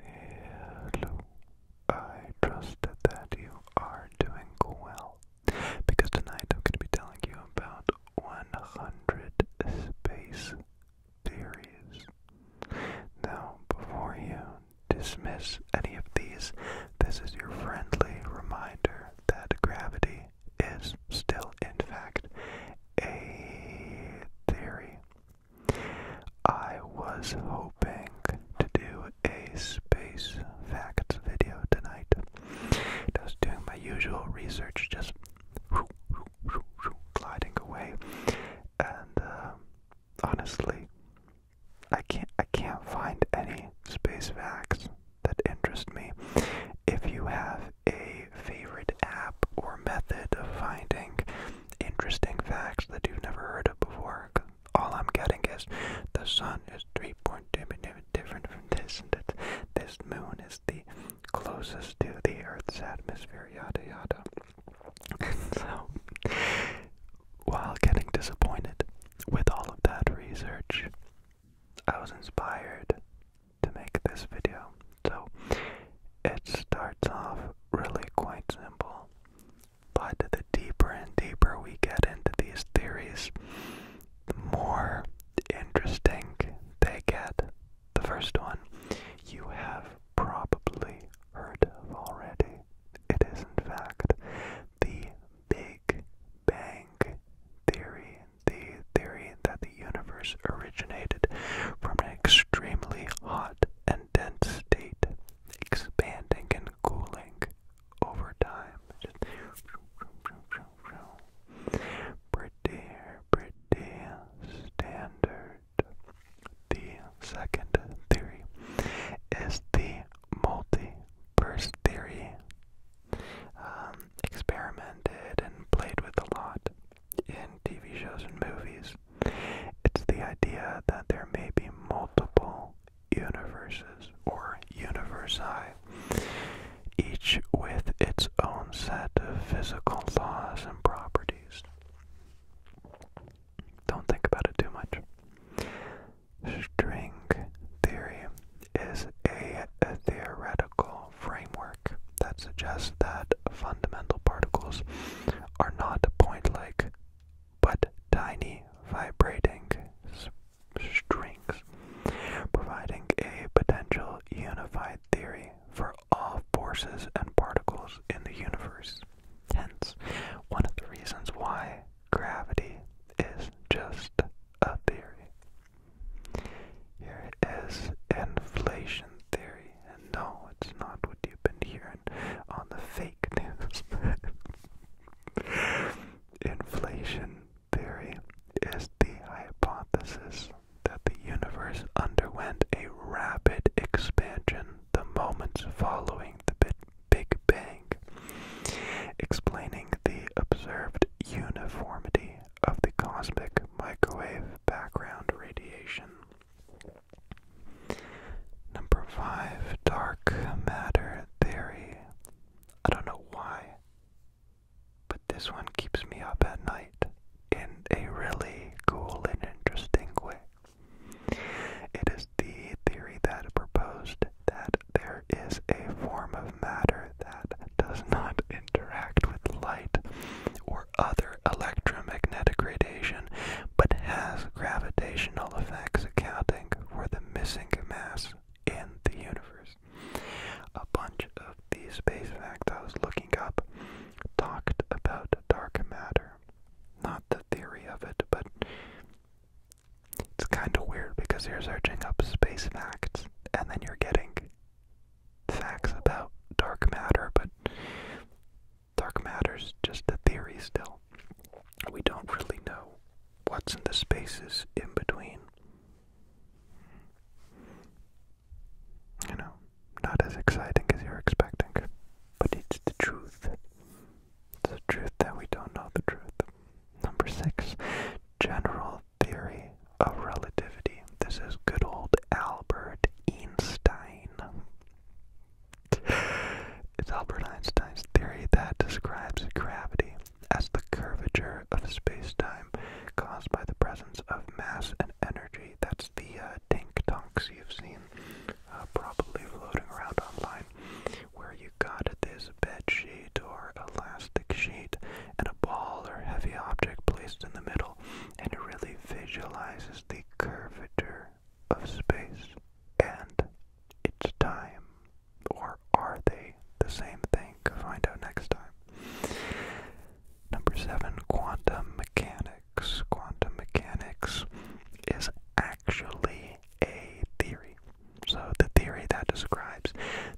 Hello. I trust that you are doing well because tonight I'm going to be telling you about 100 space theories. Now, before you dismiss any of these, this is your friendly reminder that gravity is still, in fact, a theory. I was hoping to do a space facts video tonight. Just doing my usual research, just gliding away, and uh, honestly, I can't I can't find any space facts that interest me. If you have a favorite app or method of finding interesting facts that you've never heard of before. All I'm getting is the sun is 3.2 different from this, that this moon is the closest to the Earth's atmosphere, yada yada. And so, while getting disappointed with all of that research, I was inspired to make this video. So, it starts off really quite simple. But the deeper and deeper we get into these theories, the more interesting they get. The first one you have probably heard of already. It is, in fact, the Big Bang Theory, the theory that the universe originated from an extremely hot and dense state expanding and cooling over time. pretty, pretty standard. The second theory is the multiverse theory. Um, experimented and played with a lot in TV shows and movies. It's the idea that there may be multiple universes or universi, each with its own set of physical laws and properties. Don't think about it too much. String theory is a theoretical framework that suggests that fundamental particles are not point like but tiny vibrating strings, providing a potential unified theory for all forces and particles in the universe. Hence, one of the reasons why gravity is just a theory. Here is inflation theory no, it's not what you've been hearing on the fake news. Inflation theory is the hypothesis that the universe underwent a rapid expansion the moments following the Big Bang, explaining the observed uniformity of the cosmic microwave background radiation. Number five, dark matter theory. I don't know why, but this one keeps me up at night in a really cool and interesting way. It is the theory that proposed that there is a form of matter that does not interact with light or other electromagnetic radiation but has gravitational effects accounting for the missing mass in the universe. A bunch of these space facts I was looking up talked about dark matter. Not the theory of it, but it's kind of weird because you're searching up space facts and then you're getting facts about dark matter, but dark matter's just a theory still. We don't really know what's in the spaces in between. You know, not as exciting as you're expecting, but it's the truth. It's the truth that we don't know the truth. Number six, general theory of relativity. This is good old Albert Einstein. It's Albert Einstein's theory that describes gravity as the curvature of space-time caused by the presence of mass and energy. That's the uh, tink tank tonks you've seen uh, probably floating around online, where you got this bed sheet or elastic sheet and a ball or heavy object placed in the middle, and it really visualizes the curvature of space and its time? Or are they the same thing? Find out next time. Number seven, quantum mechanics. Quantum mechanics is actually a theory. So, the theory that describes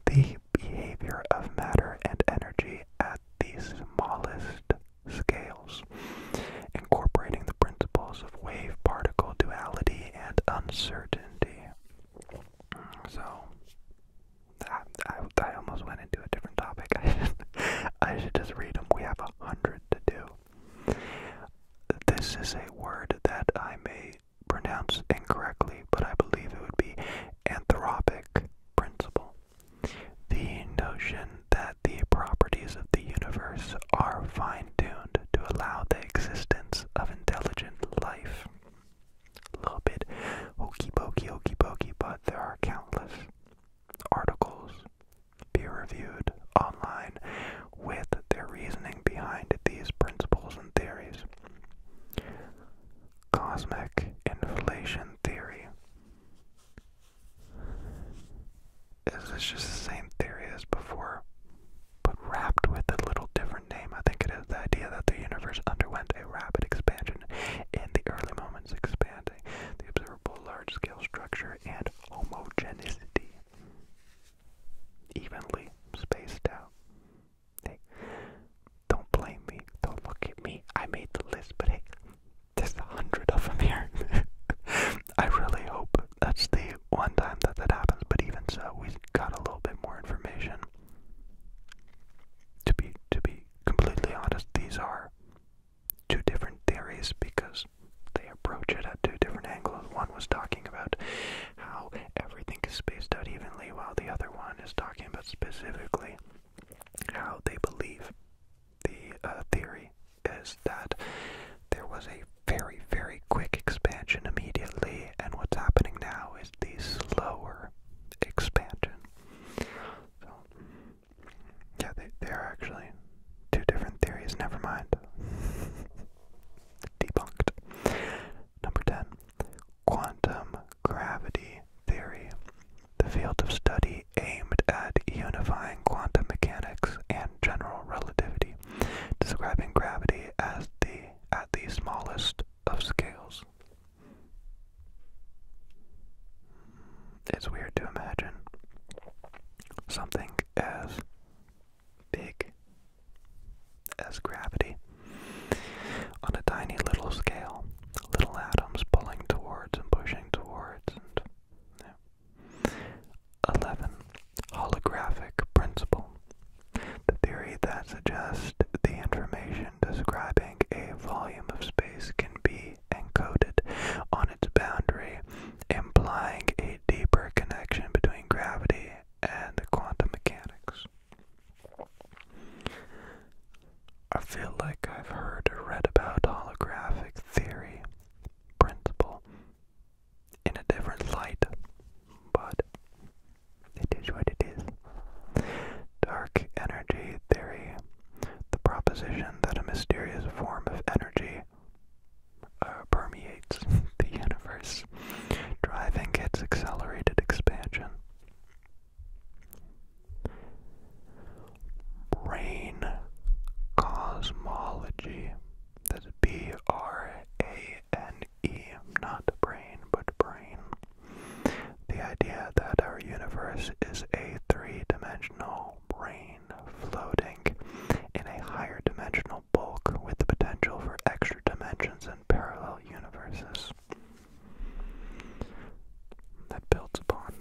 the behavior of matter and energy at the smallest scales, incorporating the principles of wave particle duality and uncertainty. So, I, almost went into a different topic. I should just read them. We have a hundred to do. This is a word that I may pronounce incorrectly, but I believe it would be anthropic principle. The notion that the properties of the universe are fine tuned to allow the existence of intelligent life. A little bit hokey pokey, hokey pokey, but there are countless articles peer reviewed online with their reasoning behind these principles and theories. Cosmic inflation theory. Is this just the same theory as before, but wrapped with a little different name? I think it is the idea that the universe underwent a rapid expansion in the early moments, expanding the observable large scale structure and homogeneity, evenly spaced out. Hey, don't blame me, don't look at me. I made the list, but hey, there's a hundred of them here. I really hope that's the one time that that happens, but even so, we got a little bit more information. To be to be completely honest, these are two different theories because they approach it at two different angles. One was talking about how everything is spaced out evenly, while the other one is talking about specifically how they believe the uh, theory is that there was a very, very quick expansion immediately, and what's happening now is the slower expansion. So, yeah, there are actually two different theories. Never mind. Debunked. Number 10. Quantum gravity theory. The field of study aimed at unifying quantum mechanics and general relativity describing gravity as the at the smallest of scales. It's weird to imagine something as big as gravity on a tiny little scale, little atoms pulling towards and pushing towards and 11. Holographic principle. The theory that suggests the information describing a volume of space can be encoded on its boundary, implying a deeper connection between gravity and quantum mechanics. I feel like I've heard or read about holographic theory, principle, in a different light, but it is what it is. Dark energy theory, the proposition that a mysterious form of energy uh, permeates the universe, driving its accelerated expansion. Brain cosmology. That's B R A N E, not brain, but brain. The idea that our universe is a three dimensional brain floating in a higher dimensional bulk with the potential for extra dimensions and parallel universes. That builds upon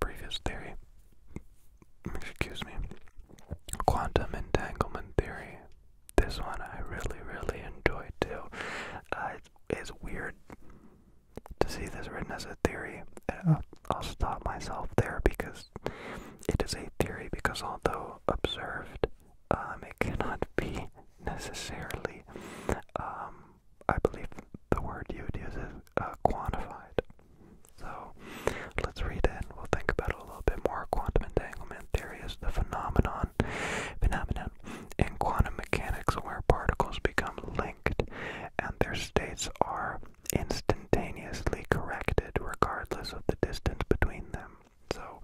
previous theory excuse me, quantum entanglement theory. This one I really, really enjoy too. Uh, it's, weird to see this written as a theory. I'll stop myself there because it is a theory. Because although observed, um, it cannot be necessarily. Um, I believe the word you'd use is uh, quantified. So let's read it and we'll think about it a little bit more. Quantum entanglement theory is the phenomenon phenomenon in quantum mechanics where particles become linked and their states are instantaneously corrected regardless of the distance between them. So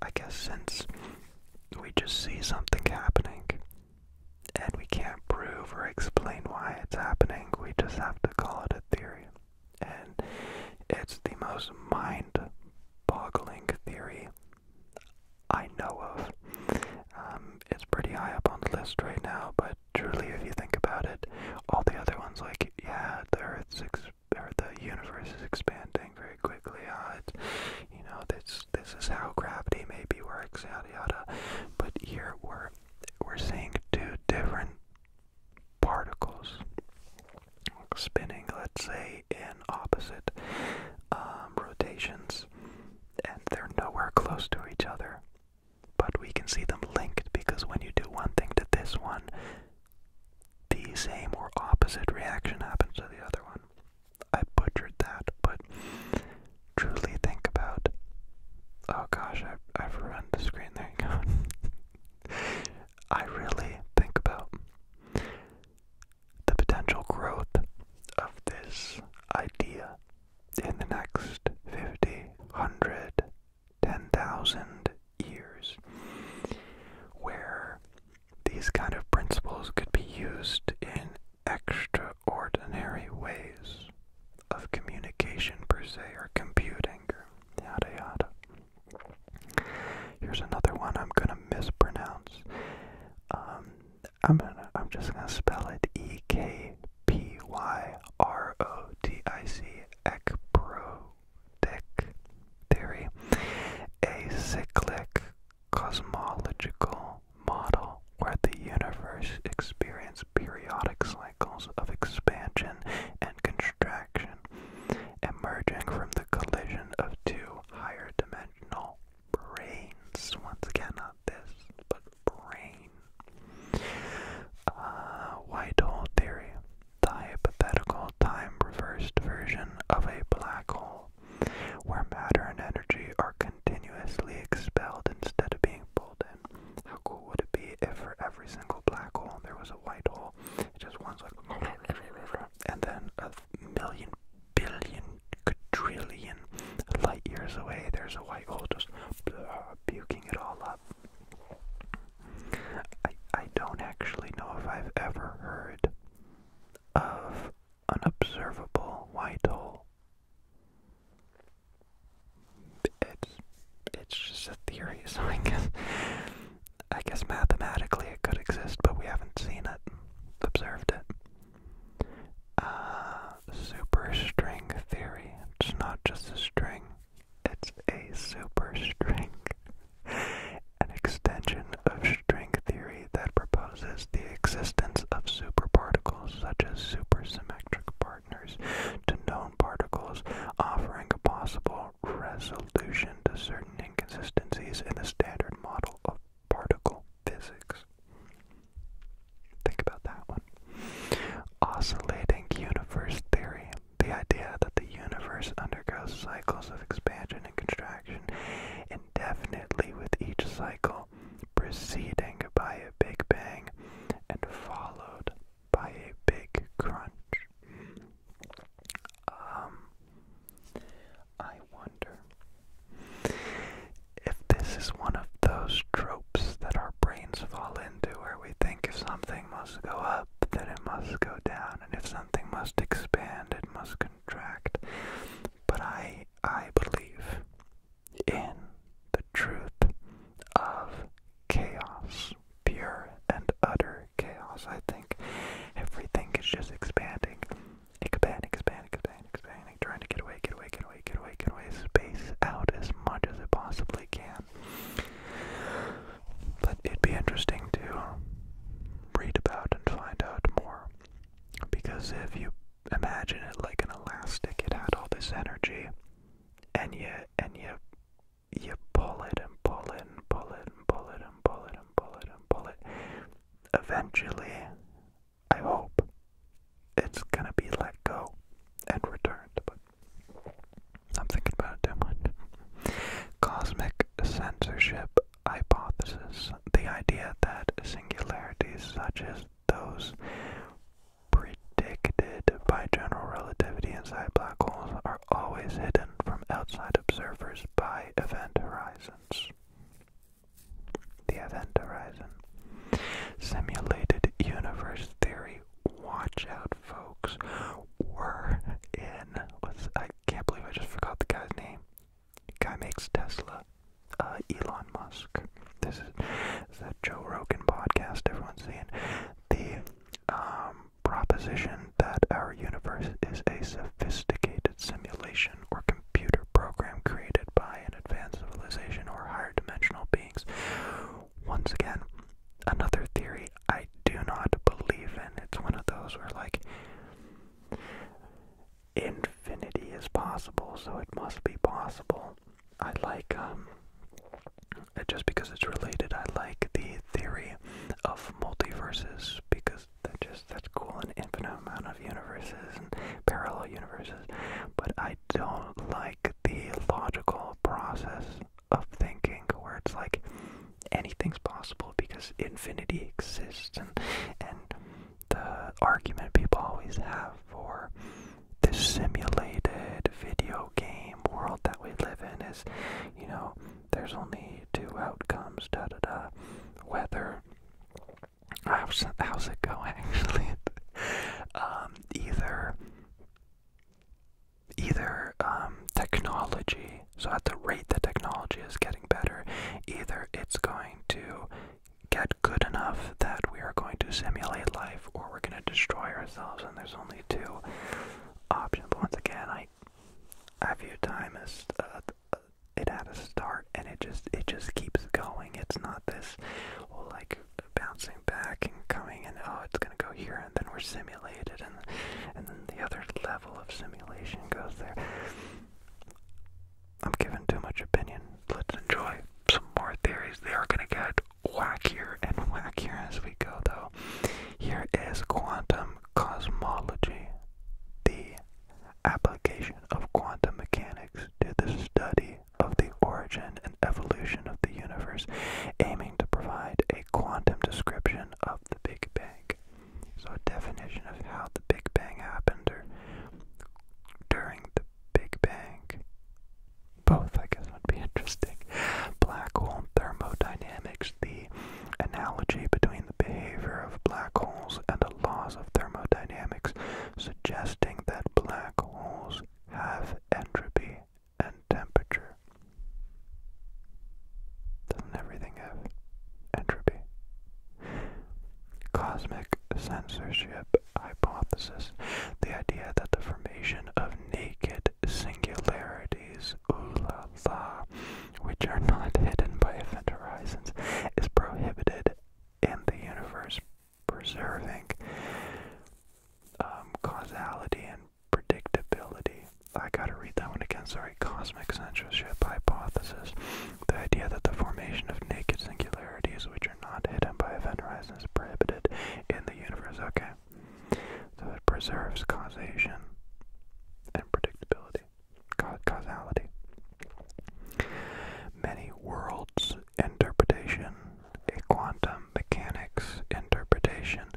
I guess since we just see something happening and we can't prove or explain why it's happening, we just have to call it a theory and it's the most mind-boggling theory I know of. Um, it's pretty high up on the list right now, but truly, if you think about it, all the other ones, like yeah, the Earth's ex- or the universe is expanding very quickly. Uh, it's, you know, this this is how gravity maybe works, yada yada. But here we're we're seeing two different particles spinning, let's say, in opposite um, rotations, and they're nowhere close to each other. But we can see them linked because when you do one thing to this one, the same or opposite reaction happens to the other one. I butchered that, but truly think about. Oh gosh, I've, I've ruined the screen. There you go. I really think about the potential growth of this idea in the next 50, 100, years, where these kind of principles could be used in extraordinary ways of communication per se or computing Yada yada. Here's another one I'm gonna mispronounce. Um, I'm gonna, I'm just gonna spell it E K P Y R O D I C Ekprotic theory, a cyclic cosmological model where the universe experiences periodic cycles of expansion and contraction, emerging from the collision of two higher dimensional brains. Once again, not this, but brain. Uh, white hole theory, the hypothetical time reversed version of a black hole, where matter and energy are continuously expelled instead of being pulled in. How cool would it be if for every single black hole there was a white hole. It just one's like, and then a million, billion, quadrillion light years away, there's a white hole just blah, puking it all up. I I don't actually know if I've ever heard of an observable white hole it's it's just a theory, so I guess I guess mathematically it could exist, but we haven't seen it, observed it. Uh, superstring theory. It's not just a string; it's a superstring, an extension of string theory that proposes the existence of superparticles, such as supersymmetric particles to known particles, offering a possible resolution to certain inconsistencies in the standard model of particle physics. Think about that one. Oscillating universe theory. The idea that the universe undergoes cycles of expansion and contraction indefinitely with each cycle preceding by a Big Bang and followed by a big crunch. Um, I wonder if this is one of those tropes that our brains fall into where we think if something must go up, then it must go down, and if something must expand, it must contract. But I, I believe in the truth of chaos pure and utter chaos. I think everything is just expanding, expand, expand, expand, expanding, trying to get away, get away, get away, get away, get away, space out as much as it possibly can. But it'd be interesting to read about and find out more. Because if you imagine it like an elastic, it had all this energy, and you and you you pull it and pull it and pull it and pull it and pull it and pull it and pull it. Eventually, I hope it's gonna be let go and returned, but I'm thinking about it too much. Cosmic censorship hypothesis the idea that singularities such as those predicted by general relativity inside black holes are always hidden from outside observers by event horizons. The event horizon. Simulated universe theory. Watch out, folks. We're in. I can't believe I just forgot the guy's name. Guy makes Tesla. Uh, Elon Musk. This is, this that Joe Rogan podcast everyone's seeing. The um, proposition that our universe is a sophisticated simulation or computer program created by an advanced civilization or higher dimensional beings. Once again, another theory I do not believe in. It's one of those where, like, infinity is possible, so it must be possible. I like, um, just because it's related, I like the theory of multiverses because that just that's cool an infinite amount of universes and parallel universes. But I don't like the logical process of thinking where it's like anything's possible because infinity exists and and the argument people always have for this simulated video game world that we live in is, you know, there's only two outcomes, da da da. Whether how's how's it going actually? um, either either um, technology. So at the rate that technology is getting better, either it's going to get good enough that we are going to simulate life, or we're going to destroy ourselves. And there's only two options. But once again, I I view time as uh, it had a start and it just it just keeps going. It's not this oh, like bouncing back and coming and oh it's gonna go here and then we're simulated and and then the other level of simulation goes there. I'm giving too much opinion. Let's enjoy some more theories. They are gonna get whackier and whackier as we go though here is quantum cosmology, the application of quantum mechanics to the study of the origin and evolution of the universe, aiming to provide a quantum description of the Big Bang. So a definition of how the Big Bang happened or during the Big Bang. Both, I guess would be interesting. Black hole thermodynamics, the analogy between the behavior of black holes and the laws of thermodynamics, suggesting that black holes have entropy and temperature. Doesn't everything have entropy? Cosmic censorship hypothesis, the idea that the formation of naked singularities as ulala, which are not hidden by event horizons, is prohibited in the universe, preserving um, causality and predictability. I gotta read that one again, sorry. Cosmic censorship hypothesis. The idea that the formation of naked singularities, which are not hidden by event horizons, is prohibited in the universe. Okay. So it preserves causation and predictability, causality. Many worlds interpretation, a quantum mechanics interpretation,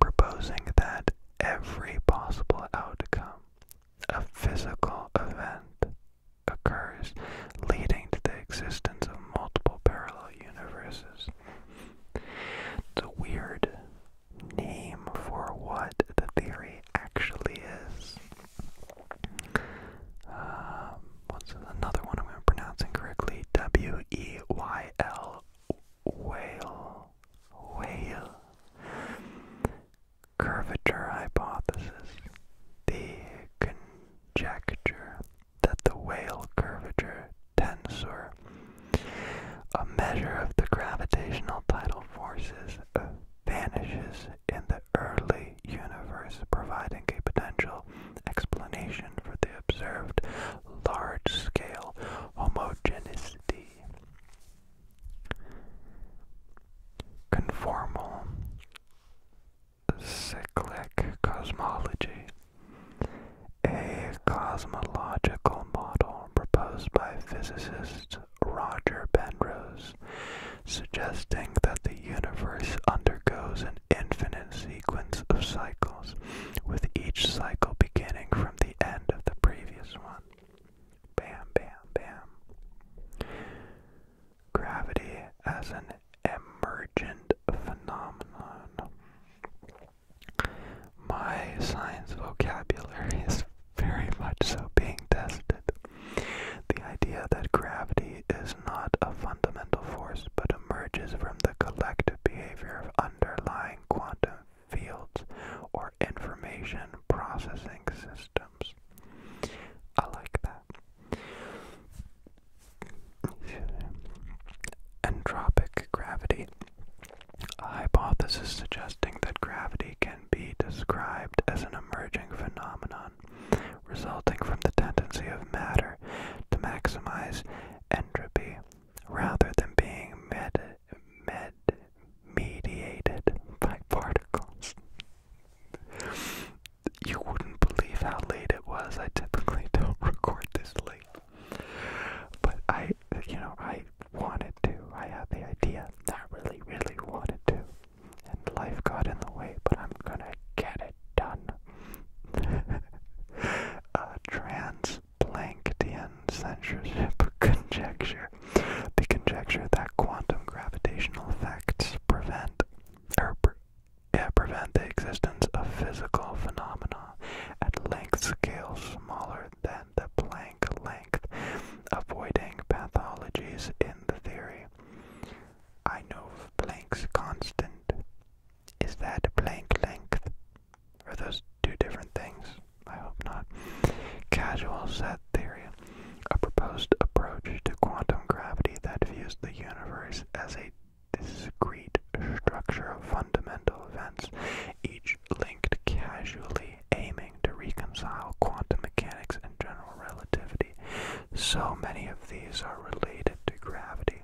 proposing that every possible outcome of a physical event occurs, leading to the existence of multiple parallel universes. It's weird name for what the theory actually is. Um, another one I'm going to pronounce incorrectly? W E Y L whale whale curvature hypothesis. The conjecture that the whale curvature tensor a measure of the gravitational tidal forces vanishes in the early universe, providing a potential explanation for the observed large-scale homogeneity. Conformal cyclic cosmology a cosmological model proposed by physicist Roger Penrose, suggesting that the universe undergoes an infinite sequence of cycles, with each cycle beginning from the end of the previous one. Bam, bam, bam. Gravity as an emergent phenomenon. My science vocabulary is very much so being tested. The idea that gravity is not a fundamental force but emerges from the collective behavior of underlying quantum fields or information processing systems. I like that. Entropic gravity a hypothesis suggesting that gravity can be described as an emerging phenomenon resulting from the tendency of matter to maximize entropy rather than being med med mediated by particles. you wouldn't believe how late it was. I typically don't record this late. But I, you know, I wanted to. I had the idea. I really, really wanted to. And life got in the way, but I'm gonna get it done. uh, Transplanckian censorship conjecture. The conjecture that quantum gravitational effects prevent, er, prevent the existence of physical phenomena at length scales smaller than the Planck length, avoiding pathologies in the theory. I know of Planck's constant. Is that Planck length? Are those two different things? I hope not. Casual set theory, a proposed approach to quantum gravity that views the universe as a discrete structure of fundamental events, each linked casually, aiming to reconcile quantum mechanics and general relativity. So many of these are related to gravity.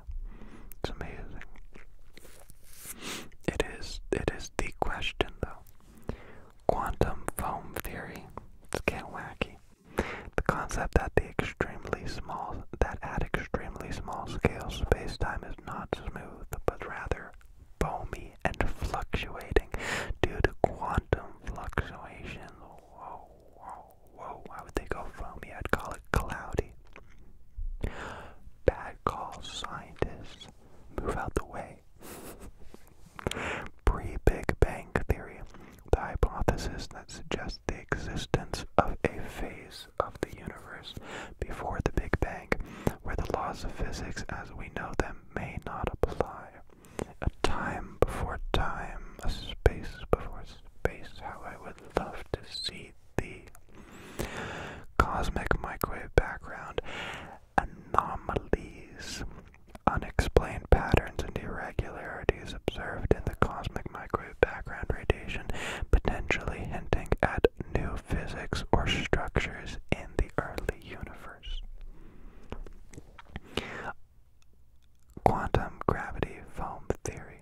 It's amazing. It is it is the question though. Quantum foam theory. It's kind of wacky. The concept that the extremely small that at extremely small scales, spacetime is not smooth, but rather foamy and fluctuating due to quantum fluctuations. Whoa, whoa, whoa, why would they go foamy? I'd call it cloudy. Bad call, scientists. Move out the way. Pre Big Bang Theory, the hypothesis that suggests the existence of a phase of the universe before the Big Bang where the laws of physics as we know them may not apply. A time before time, a space before space, how I would love to see the Cosmic microwave background, anomalies, unexplained patterns and irregularities observed in the cosmic microwave background radiation, potentially hinting at new physics or structures in the early universe. Quantum gravity foam theory.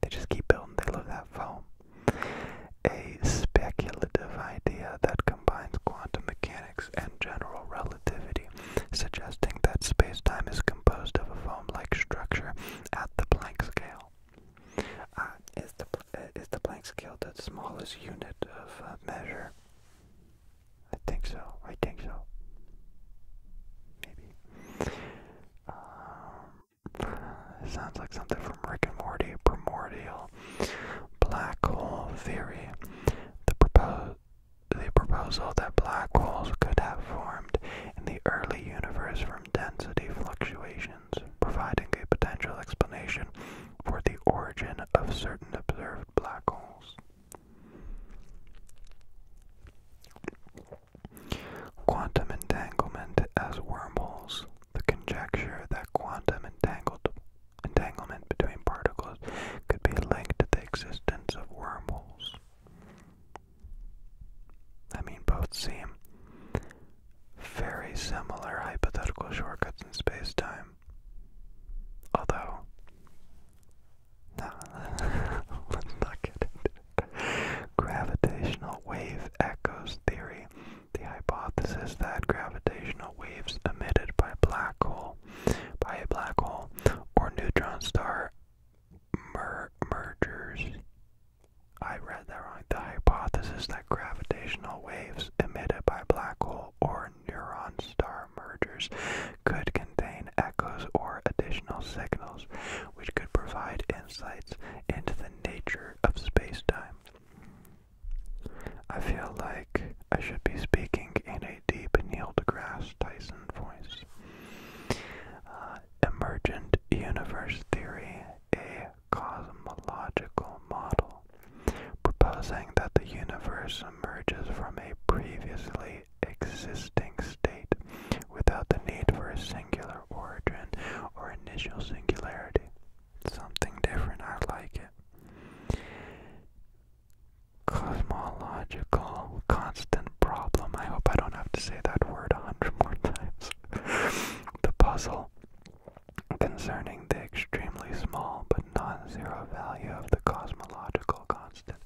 They just keep building, they love that foam. A speculative idea that combines quantum mechanics and general relativity, suggesting that space time is composed of a foam like structure at the Planck scale. Uh, is the uh, is the Planck scale the smallest unit of uh, measure? I think so. I think so. Maybe. Um, sounds like something from Rick and Morty. Primordial black hole theory. the proposal that black holes could have formed in the early universe from density fluctuations providing a potential explanation for the origin of certain observed black holes. Quantum entanglement as wormholes. The conjecture that quantum entanglement between particles could be linked to the existence of wormholes. I mean, both seem very similar hypothetical shortcuts in space-time. Although, no, let's not get into it. Gravitational wave echoes theory, the hypothesis that gravitational waves emitted by black hole, by a black hole or neutron star mergers I read that wrong. The hypothesis that gravitational waves emitted by black hole or neutron star mergers could contain echoes or additional signals which could provide insights into the nature of space-time. I feel like I should be speaking in a deep Neil deGrasse Tyson voice. Uh, emergent universe theory, a cosmological model, proposing that the universe emerges from a previously existing state without the need for a singular origin or initial singularity. Something different, I like it. Cosmological constant problem. I hope I don't have to say that word a hundred more times. the puzzle Concerning the extremely small but non-zero value of the cosmological constant,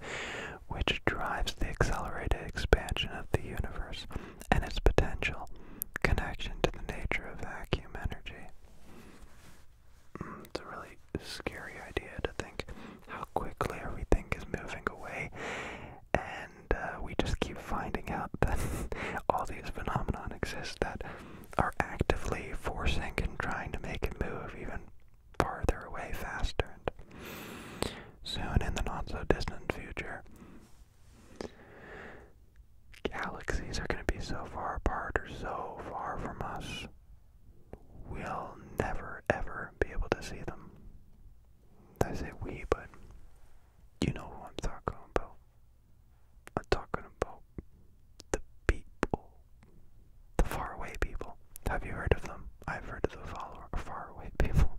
which drives the accelerated expansion of the universe and its potential connection to the nature of vacuum energy. Mm, it's a really scary idea to think how quickly everything is moving away, and uh, we just keep finding out that all these phenomena exist that are actively forcing and trying to make it move even farther away faster. And soon, in the not so distant future, galaxies are going to be so far apart or so far from us, we'll never ever be able to see them. I say we, but you know who I'm talking about. I'm talking about the people, the faraway people. Have you heard of them? I've heard of the follower, faraway people.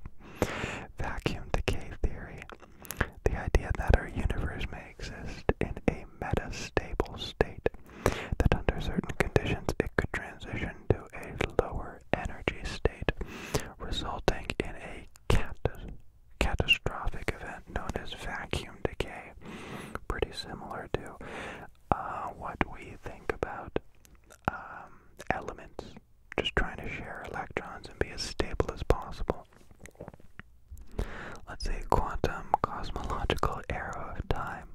Vacuum decay theory. The idea that our universe may exist in a meta-stable state, that under certain conditions it could transition to a lower energy state, resulting in a catastrophic event known as vacuum decay. Pretty similar to uh, what we think about um, elements, just trying to share electrons and be as stable as possible. Let's say quantum cosmological era of time.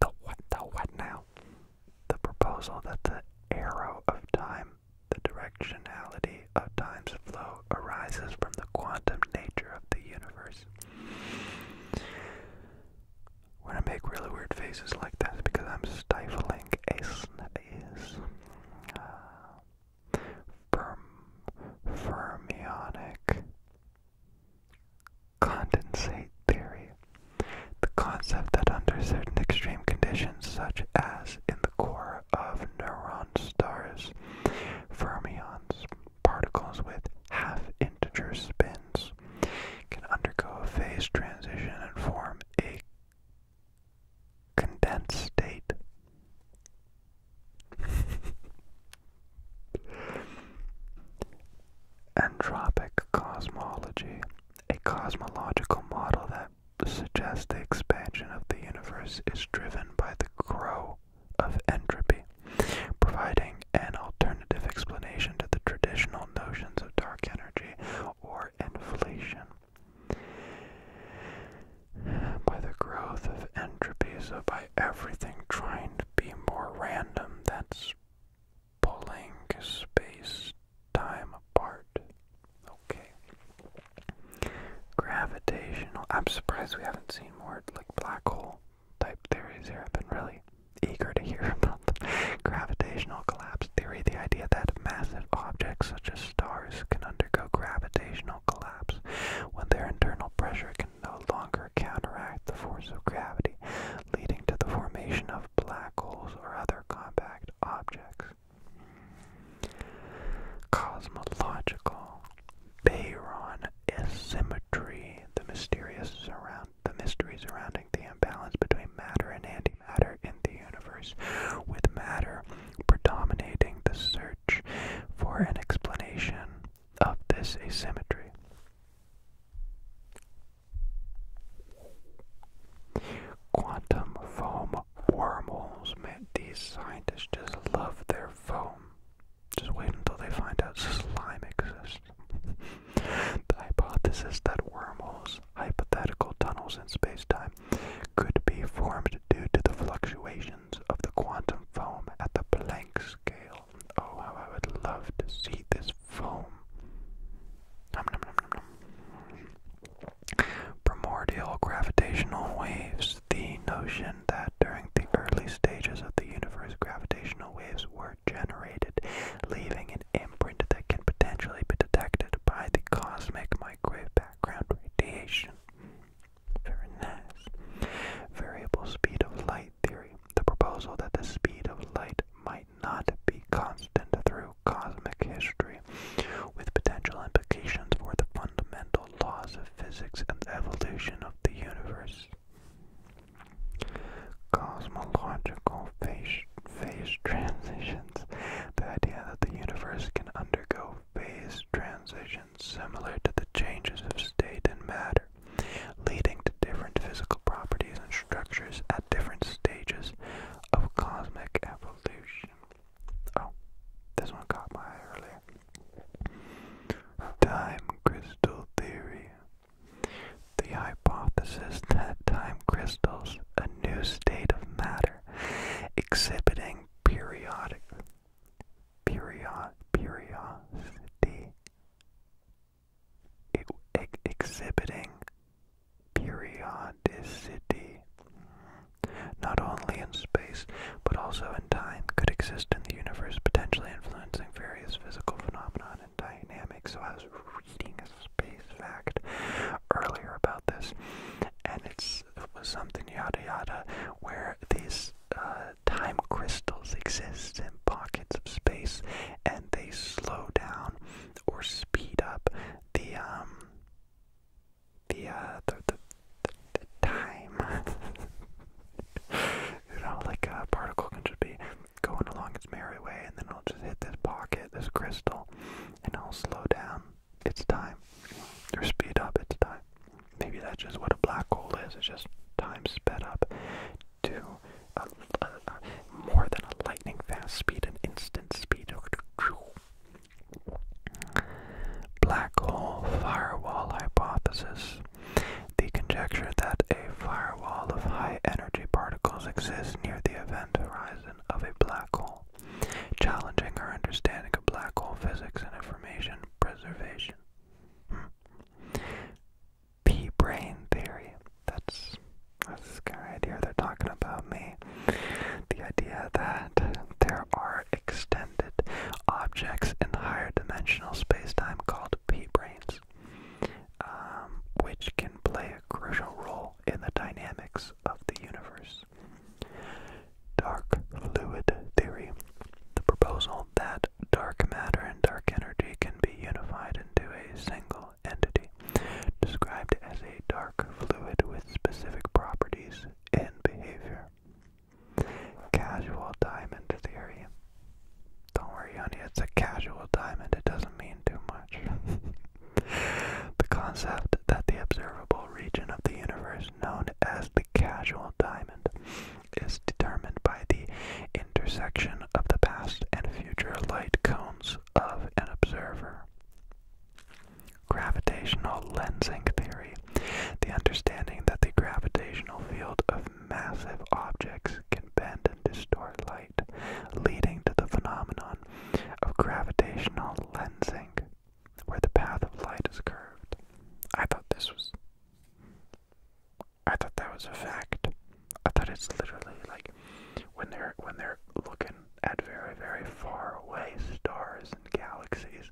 The what? The what now? The proposal that the arrow of time the directionality of time's flow arises from the quantum nature of the universe. When I make really weird faces like this because I'm stifling a is uh, fermionic condensate theory, the concept that under certain extreme conditions, such as in core of neuron stars. Fermions, particles with half-integer spins, can undergo a phase transition and form a condensed state. Entropic cosmology, a cosmological model that suggest the expansion of the universe is driven by the grow of entropy, providing an alternative explanation to the traditional notions of dark energy or inflation. By the growth of entropy, so by everything trying to be more random, that's pulling space time apart. Okay. Gravitational. I'm surprised we haven't seen more like black hole type theories here. I've been really eager to hear about the gravitational collapse theory, the idea that massive objects such as stars can undergo gravitational collapse when their internal pressure can no longer counteract the force of gravity, leading to the formation of black holes or other compact objects. Cosmological baryon asymmetry, the mysterious surround the mystery surrounding the imbalance between matter and antimatter in the universe, with matter predominating the search for an explanation of this asymmetry. Quantum foam wormholes, man. These scientists just love their foam. Just wait until they find out slime exists. the hypothesis that wormholes, hypothetical tunnels in space-time, could be formed due to the fluctuations of the quantum foam at the Planck scale. Oh, how I would love to see this foam. Primordial gravitational waves. The notion that during the early stages of the universe, gravitational waves were generated, leaving an imprint that can potentially be detected by the cosmic microwave background radiation. Very Variable speed of light theory. The proposal that the speed of light might not be constant through cosmic history with potential implications for the fundamental laws of physics and the evolution of the universe. Cosmological phase, transitions. The idea that the universe can undergo phase transitions similar to the changes of state in matter, leading to different physical properties and structures at different stages of cosmic evolution. Oh, this one caught my eye earlier. Time crystal theory. The hypothesis that time crystals, a new state of matter, exhibiting periodic period periodicity exhibiting periodicity not only in space but also in time, could exist in the universe, potentially influencing various physical phenomena and dynamics. So I was reading a space fact earlier about this, and it's, it was something yada yada where these uh, time crystals exist in pockets of space, and they slow down or speed up the um the uh, the, the, time. you know, like a uh, particle can just be going along its merry way, and then it'll just hit this pocket, this crystal, and it'll slow down its time or speed up its time. Maybe that's just what a black hole is. It's just time sped up to a, more than a lightning fast speed, an instant speed. Black hole firewall hypothesis. The conjecture that a firewall of high energy particles exists near the event horizon of a black hole, challenging our understanding of black hole physics and information preservation. Hmm. P brain theory. That's that's this guy idea They're talking about me. The idea that there are extensive objects in higher dimensional spacetime called p-branes, um, which can play a crucial role in the dynamics of the universe. Dark fluid theory. The proposal that dark matter and dark energy can be unified into a single entity, described as a dark fluid with specific properties and behavior. Casual diamond theory. Don't worry, honey, it's a casual diamond. It doesn't mean too much. the concept that the observable region of the universe, known as the casual diamond, is determined by the intersection of the past and future light cones of an observer. Gravitational lensing theory. The understanding that the gravitational field of massive objects can bend and distort light, leading to the phenomenon of gravitational lensing, where the path of light is curved. I thought this was. I thought that was a fact. I thought it's literally like when they're when they're looking at very very far away stars galaxies,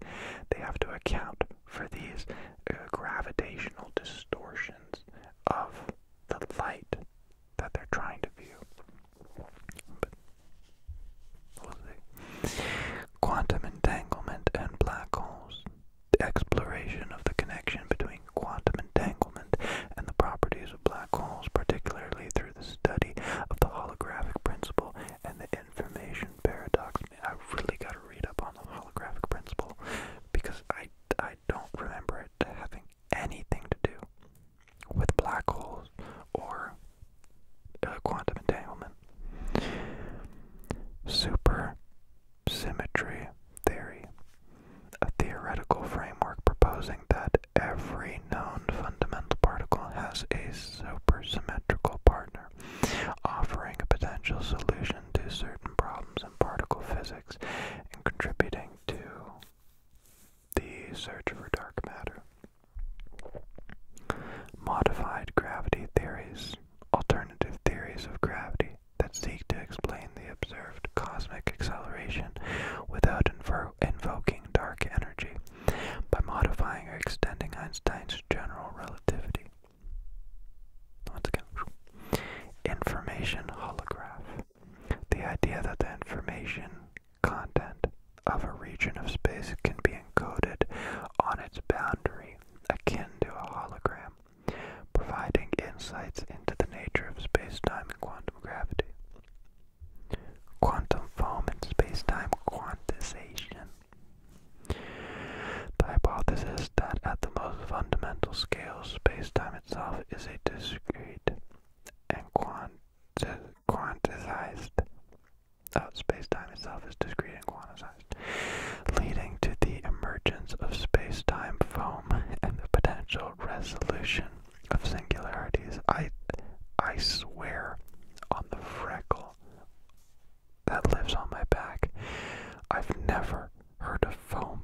they have to account for these uh, gravitational distortions of the light that they're trying to view. we'll see. Quantum entanglement and black holes. exploration of the connection between quantum entanglement and the properties of black holes, particularly through the study of the holographic principle and the information paradox I really gotta read up on the holographic principle because I, I don't remember it having anything to do with black holes or uh, quantum entanglement. Supersymmetry theory, a theoretical framework proposing that every known fundamental particle has a supersymmetrical partner offering a potential solution to certain problems in particle physics and contributing to the search for dark matter. Modified gravity theories, alternative theories of gravity that seek to explain the observed cosmic acceleration without invoking dark energy. By modifying or extending Einstein's general relativity. Once again, information holograph. The idea that the information content of a region of space can be encoded on its boundary akin to a hologram, providing insights into the nature of space-time and quantum gravity. Quantum foam and space-time quantization. The hypothesis that at the most fundamental scale, spacetime itself is a discrete and quantized uh, spacetime itself is discrete and quantized, leading to the emergence of spacetime foam and the potential resolution of singularities. I I swear on the freckle that lives on my back. I've never heard of foam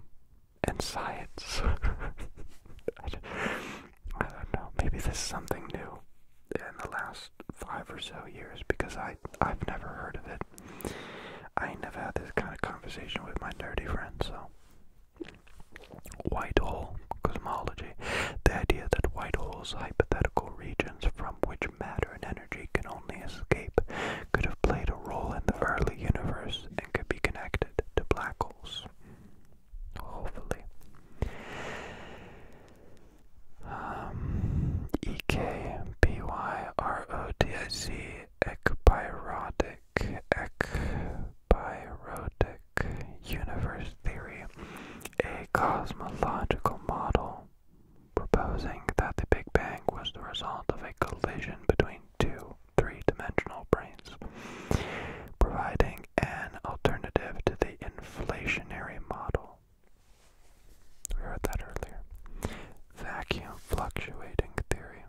and science. I, don't know. Maybe this is something new in the last five or so years because I I've never heard of it. I never had this kind of conversation with my nerdy friends. So, white hole cosmology, the idea that white holes, hypothetical regions from which matter and energy can only escape could have played a role in the early universe and could be connected to black holes. Hopefully. Um, E-K-B-Y-R-O-T-I-C, ekpyrotic, universe theory, a cosmological model proposing that the Big Bang was the result of a collision between two three-dimensional brains, providing an alternative to the inflationary model. We heard that earlier. Vacuum fluctuating theory.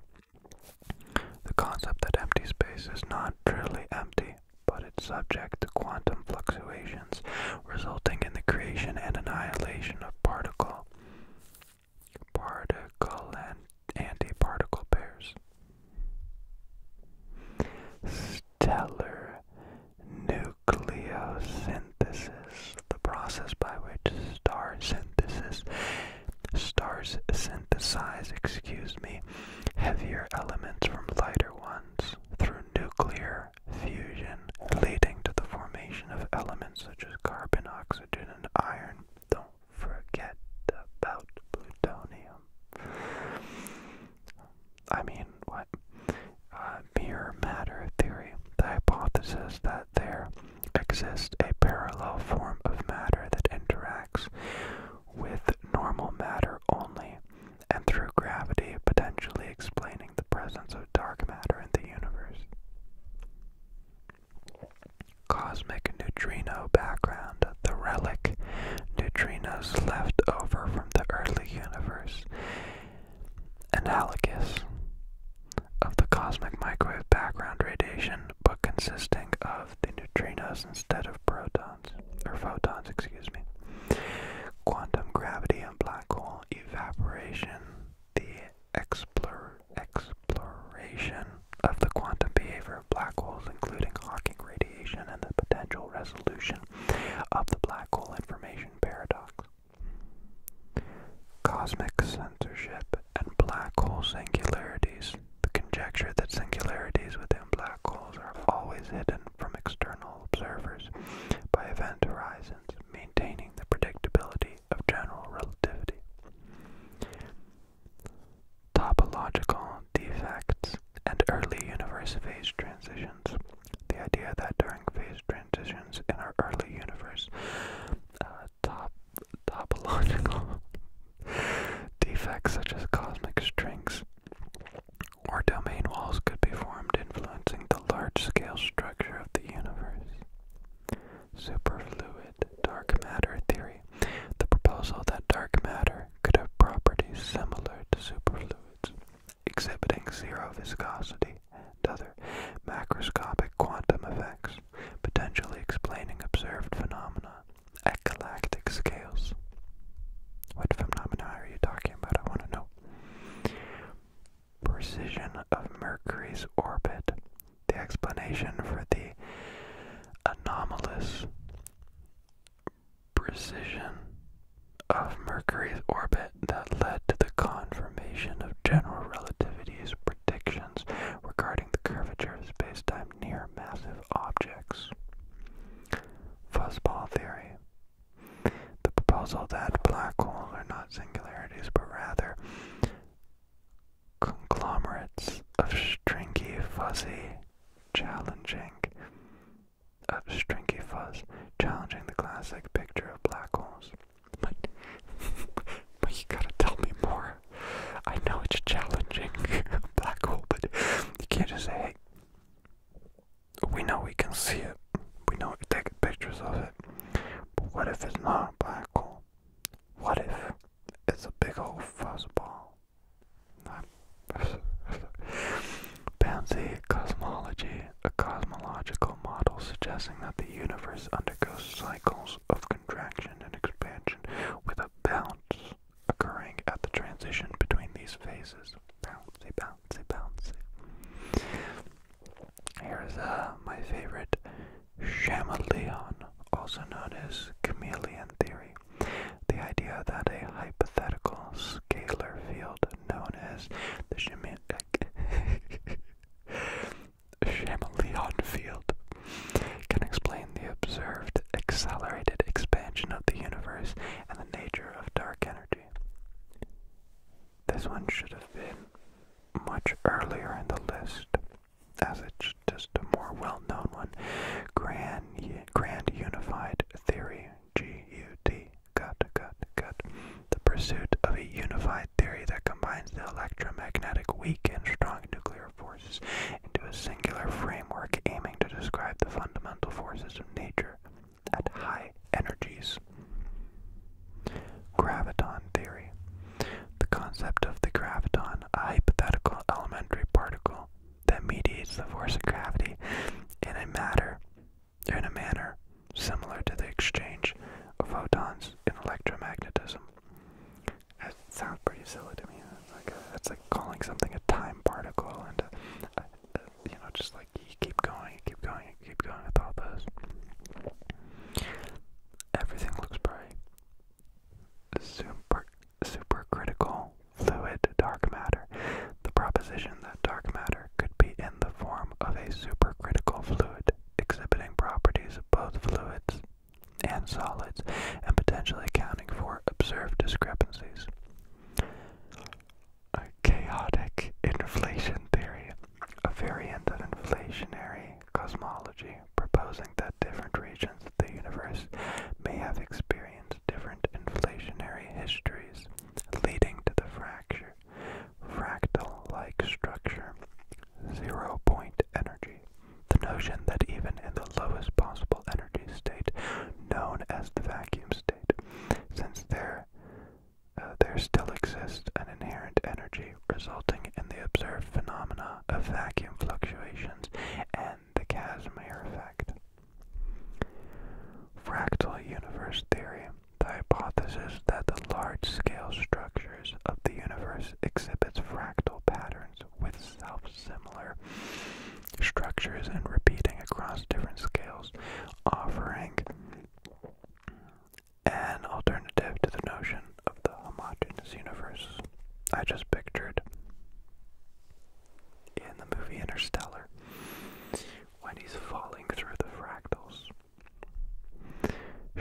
The concept that empty space is not truly empty, but it's subject to quantum fluctuations resulting in the creation and annihilation of particle, particle and anti-particle pairs. Stellar nucleosynthesis, the process by which star synthesis stars synthesize, excuse me, heavier elements from lighter ones through nuclear fusion, leading to the formation of elements such as carbon, oxygen, and iron. Don't forget about plutonium. I mean, what? Uh, mere matter theory. The hypothesis that there exists a parallel form of matter that interacts with normal matter only and through gravity potentially explaining the presence of dark matter in the universe. Cosmic neutrino background, the relic neutrinos left over from the early universe, analogous of the cosmic microwave background radiation, but consisting of the neutrinos instead of protons, or photons, excuse me. Quantum gravity and black hole, evaporation, the exploration of the quantum behavior of black holes, including Hawking radiation and the potential resolution of the black hole information paradox. Cosmic censorship and black hole singularities. The conjecture that singularities within black holes are always hidden from external observers by event horizons maintaining the predictability of general relativity. Topological defects and early universe phase transitions. The idea that during phase transitions in our early universe, uh, top, topological defects such as cosmic strings or domain walls could be formed influencing the large-scale structure of the universe. Superfluid dark matter theory, the proposal that dark matter could have properties similar to superfluids, exhibiting zero viscosity and other macroscopic quantum effects, potentially explaining observed phenomena at galactic scales. What phenomena are you talking about? I want to know precision of Mercury's orbit, the explanation for the anomalous precision of Mercury's orbit that led to the confirmation of general relativity's predictions regarding the curvature of spacetime near massive objects. Fuzzball theory. The proposal that black holes are not singularities but rather conglomerates of stringy, fuzzy, challenging, of stringy fuzz, challenging the classic picture of black holes. But, but you gotta tell me more. I know it's challenging, black hole, but you can't just say, hey, we know we can see it. We know we're taking pictures of it. But what if it's not a black hole? What if it's a big old fuzzball? Pansy cosmology, a cosmological model suggesting that the universe undergoes cycles of contraction and expansion with a bounce occurring at the transition between these phases. Bouncy, bouncy, bouncy. Here's uh, my favorite Chameleon, also known as chameleon theory. The idea that a hypothetical scalar field known as the Chameleon field can explain the observed accelerated expansion of the universe and the nature of dark energy. This one should have been much earlier in the list, as it's just a more well-known one. Grand, grand Unified Theory, G-U-T, gut, gut, gut. The pursuit of a unified theory that combines the electromagnetic weak and strong nuclear forces into a singular framework aiming to describe the fundamental forces of nature at high energies. Graviton theory. The concept of the graviton, a hypothetical elementary particle that mediates the force of gravity in a matter in a manner similar to the exchange of photons in electromagnetism. That sounds pretty silly to me. That's like, that's like calling something a time particle and, you know, just like you keep going, keep going, keep going with all those. Everything looks bright. Super supercritical fluid dark matter. The proposition that dark matter could be in the form of a supercritical fluid exhibiting properties of both fluids and solids and potentially accounting for observed discrepancies a chaotic inflation theory, a variant of inflationary cosmology, proposing that different regions of the universe may have experienced different inflationary histories, leading to the fracture, fractal-like structure, zero-point energy. The notion that even in the lowest possible energy state, known as the vacuum state, since there uh, there still exists an inherent energy resulting in the observed phenomena of vacuum fluctuations and the Casimir effect. Fractal universe theory, the hypothesis that the large-scale structures of the universe exhibits fractal patterns with self-similar structures and repeating across different scales, offering an alternative to the notion of the homogeneous universe I just pictured in the movie Interstellar when he's falling through the fractals.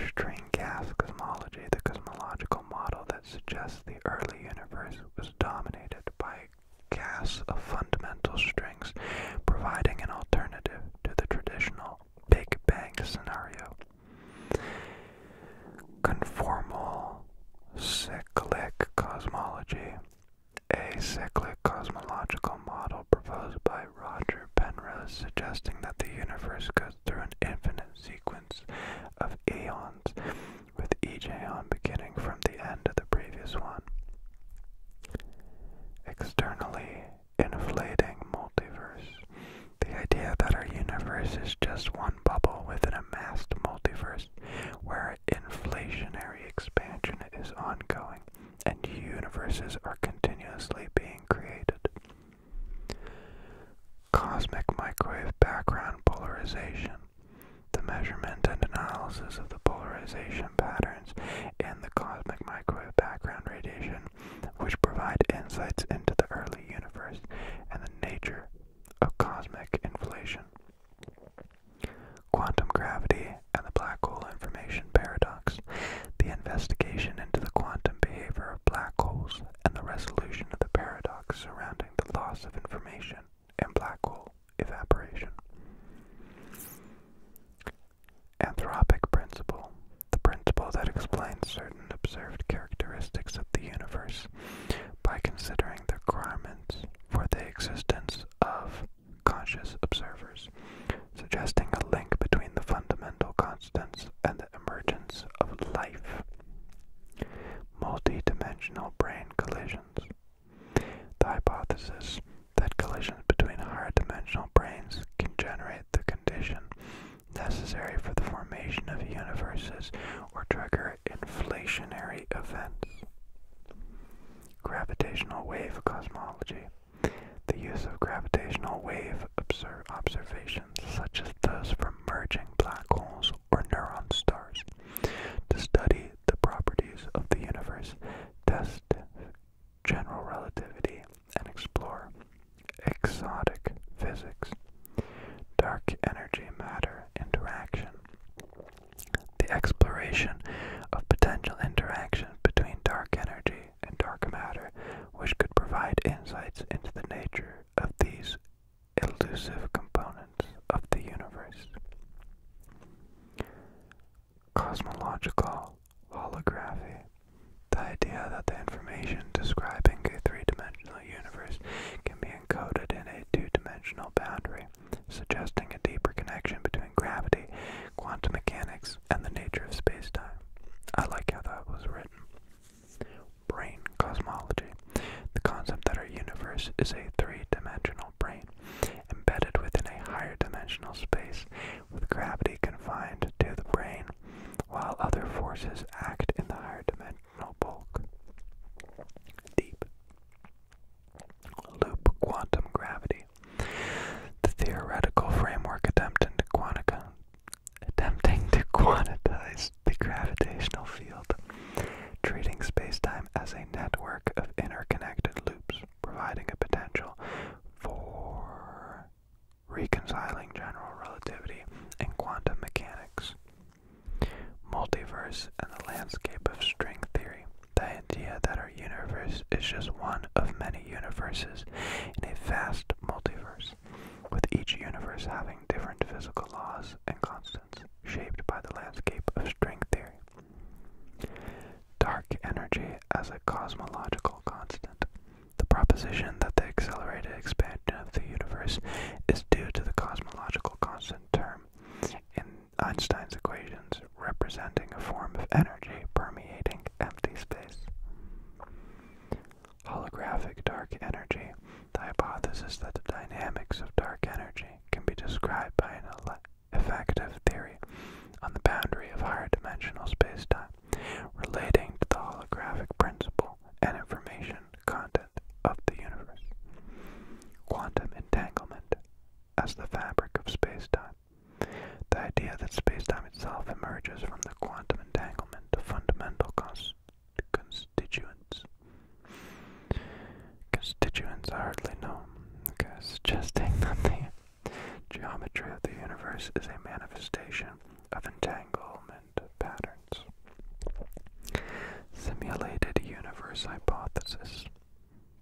String gas cosmology, the cosmological model that suggests the early universe was dominated by gas of fundamental strings, providing an alternative to the traditional Big Bang scenario. Conformal cyclic cosmology. A cyclic cosmological model proposed by Roger Penrose suggesting that the universe goes through an infinite sequence of eons, with each eon beginning from the end of the previous one. Externally, inflating multiverse. The idea that our universe is just one bubble within a massed multiverse where inflationary expansion is ongoing and universes are continuously being created. Cosmic microwave background polarization. The measurement and analysis of the polarization patterns in the cosmic microwave background radiation which provide insights into the early universe and the nature of cosmic inflation. Quantum gravity and the black hole information paradox, the investigation into the quantum behavior of black holes, and the resolution of the paradox surrounding the loss of information in black hole evaporation. Anthropic principle, the principle that explains certain observed characteristics of the universe by considering the requirements for the existence of conscious observers, suggesting a link between the fundamental constants and the emergence of life. Multidimensional brain collisions. The hypothesis that collisions between higher dimensional brains can generate the condition necessary for the formation of universes or trigger inflationary events. Gravitational wave cosmology. The use of gravitational wave observations, such as those from merging black holes or neutron stars, to study the properties of the universe, test general relativity, and explore exotic physics, dark energy matter interaction, the exploration of potential interaction between dark energy and dark matter, which could provide insights into the nature of these elusive components of the universe cosmological holography, the idea that the information describing a three-dimensional universe can be encoded in a two-dimensional boundary, suggesting a deeper connection between gravity, quantum mechanics, and the nature of space-time. I like how that was written. Brain cosmology, the concept that our universe is a three-dimensional brain, embedded within a higher dimensional space, with gravity confined to the brain while other forces act in the higher dimensional bulk. Deep. Loop quantum gravity. The theoretical framework attempting to, quantica, attempting to quantize the gravitational field, treating space-time as a network of interconnected loops, providing a potential for reconciling general relativity and quantum mechanics, multiverse and the landscape of string theory, the idea that our universe is just one of many universes in a vast multiverse, with each universe having different physical laws and constants shaped by the landscape of string theory. Dark energy as a cosmological constant, the proposition that the accelerated expansion of the universe is due to the cosmological constant term in Einstein's equations representing a form of energy permeating empty space. Holographic dark energy, the hypothesis that the dynamics of dark energy can be described by an effective theory on the boundary of higher dimensional spacetime relating to the holographic principle and information content of the universe. Quantum entanglement as the fabric of space-time. The idea that space-time itself emerges from the quantum entanglement of fundamental constituents. Constituents are hardly known. Okay, suggesting that they Geometry of the universe is a manifestation of entanglement patterns. Simulated universe hypothesis.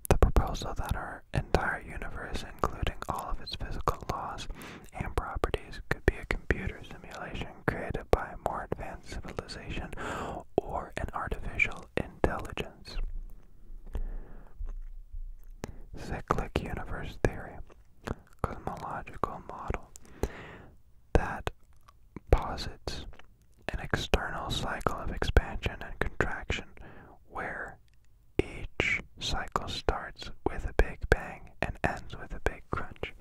The proposal that our entire universe, including all of its physical laws and properties, could be a computer simulation created by a more advanced civilization or an artificial intelligence. Cyclic universe theory cosmological model that posits an external cycle of expansion and contraction where each cycle starts with a big bang and ends with a big crunch,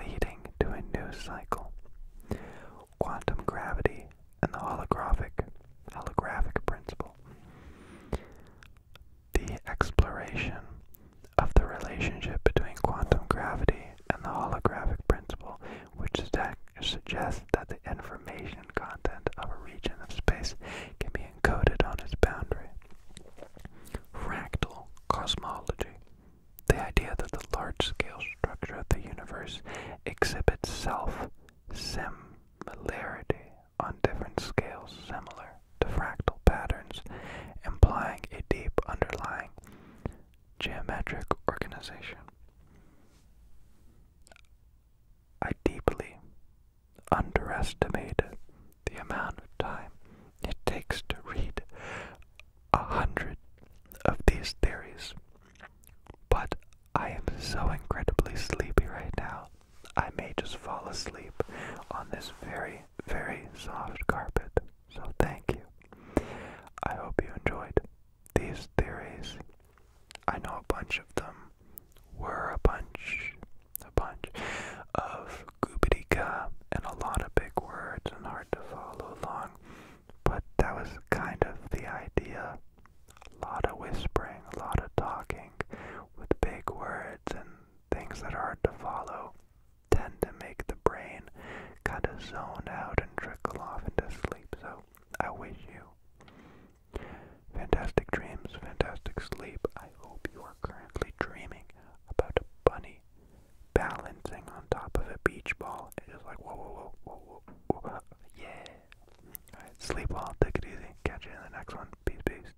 leading to a new cycle. Quantum gravity and the holographic holographic principle the exploration of the relationship between quantum gravity and the holographic principle, which suggests that the information content of a region of space can be encoded on its boundary. Fractal cosmology. The idea that the large-scale structure of the universe exhibits self-similarity on different scales similar to fractal patterns, implying a deep underlying geometric organization. I deeply underestimate the amount of time it takes to read a hundred of these theories, but I am so incredibly sleepy right now I may just fall asleep on this very, very soft carpet. So thank you. I hope you enjoyed these theories. I know a bunch of them were a bunch, a bunch of goobidika and a lot of big words and hard to follow along. But that was kind of the idea. A lot of whispering, a lot of talking with big words and things that are hard to follow tend to make the brain kind of zone out and trickle off into sleep. So I wish you fantastic dreams, fantastic sleep. I hope you are currently dreaming about a bunny balancing on top of a beach ball. It's just like whoa, whoa, whoa, whoa, whoa, whoa. yeah. All right, sleep well, take it easy. Catch you in the next one. Peace, peace.